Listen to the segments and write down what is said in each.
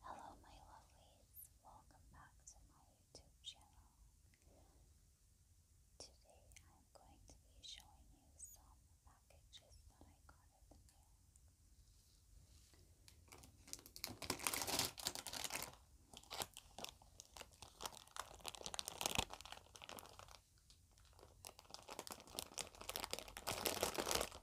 Hello, my lovelies. Welcome back to my YouTube channel. Today I'm going to be showing you some packages that I got in the mail.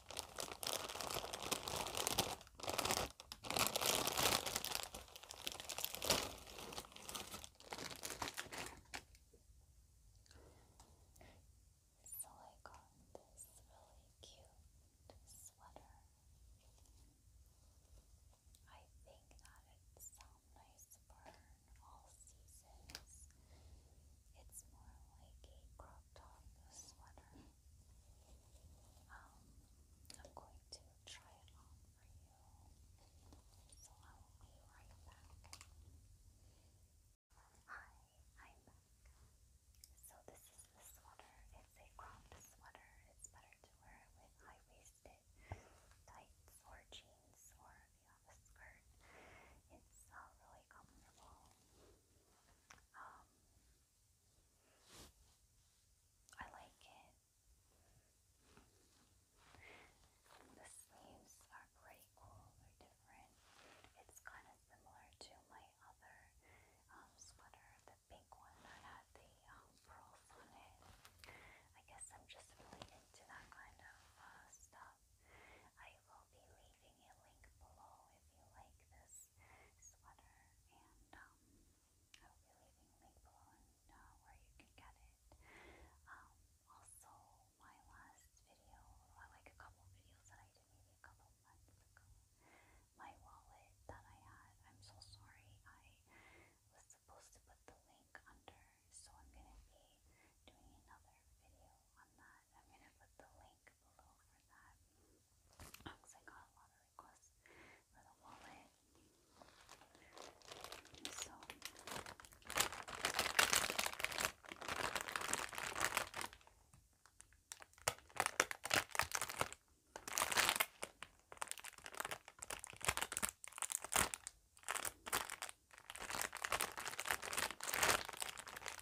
So I got this really cute sweater. I think that it's some nice burn all seasons. It's more like a crop top sweater. Um, I'm going to try it on for you. So I will be right back. Hi, I'm back. So this is the sweater. It's a cropped sweater. It's better to wear it with high-waisted tights or jeans or if you skirt. It's uh, really comfortable. Um, I like it. The sleeves are pretty cool, they different. It's kind of similar to my other um, sweater, the pink one that had the um, pearls on it. I guess I'm just really into that kind of uh, stuff. I will be leaving a link below if you like this sweater, and um, I will be leaving a link below uh, where you can get it. Um, also, my last video, or like a couple videos that I did maybe a couple months ago, my wallet that I had, I'm so sorry, I was supposed to put the link under, so I'm going to be doing another video on that. I'm going to put the link below for that because I got a lot of requests for the wallet. So,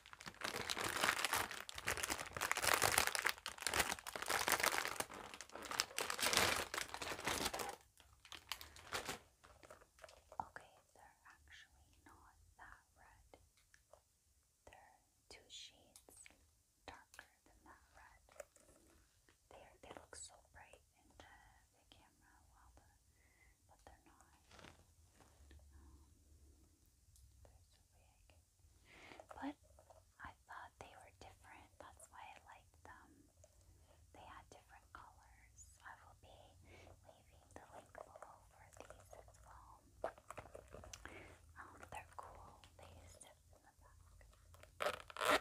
Okay, they're actually not that red. They're two shades darker than that red. They they look so bright in the camera while the but they're not. Um, there's a way But I thought they were different. That's why I liked them. They had different colors. I will be leaving the link below for these as well. Um, they're cool. They zip in the back.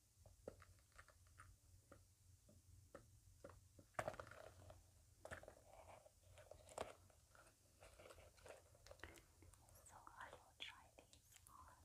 So I will try these on.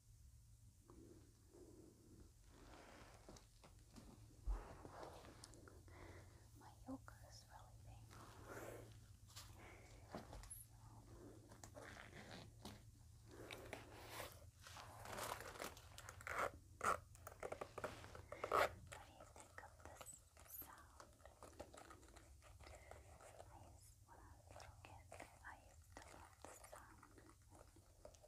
My yoga is really What do you think of this sound? when I was a little kid, I used to love the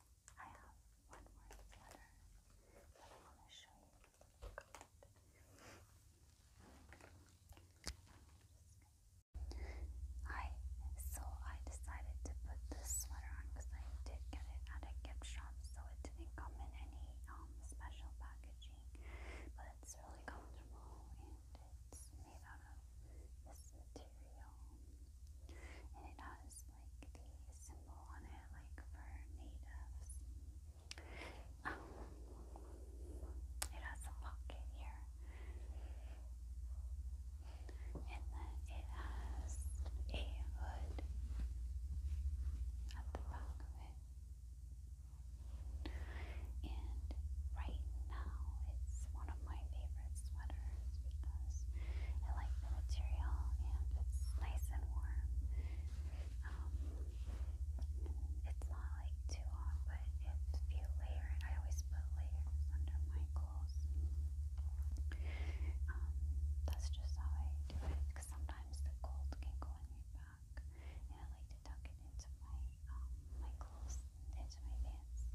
I have one more letter that I want to show you. I so I decided to put this sweater on because I did get it at a gift shop, so it didn't come in any um, special packaging, but it's really comfortable and it's made out of this material, and it has like the symbol on it, like for natives. Um, it has a pocket here, and then it has a hood at the back of it. And right now, it's one of my favorite sweaters because I like the material and it's nice and warm. Um, it's not like too hot, but it's if you I always put layers under my clothes. Um, that's just how I do it because sometimes the cold can go on your back, and I like to tuck it into my um, my clothes, into my pants.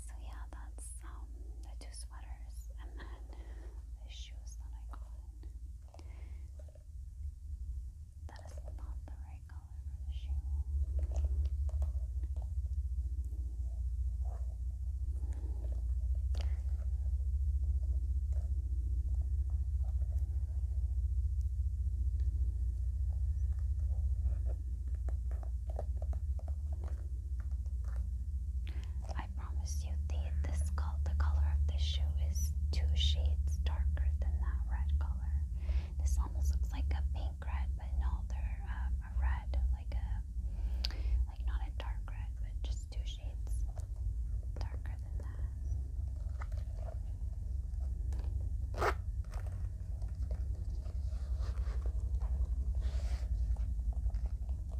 So yeah, that's um, the two sweaters and then the shoes that I got. That is not the right color for the shoe. I promise you the this col the color of this shoe is two shades darker than that red color. This almost looks like a pink red, but no, they're um, a red, like a like not a dark red, but just two shades darker than that.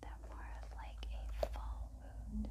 They're more of like a fall mood.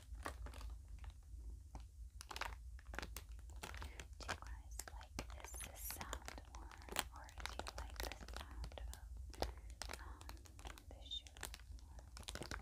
Do you guys like this, this sound more, or do you like the sound of um, the shoe more? Okay.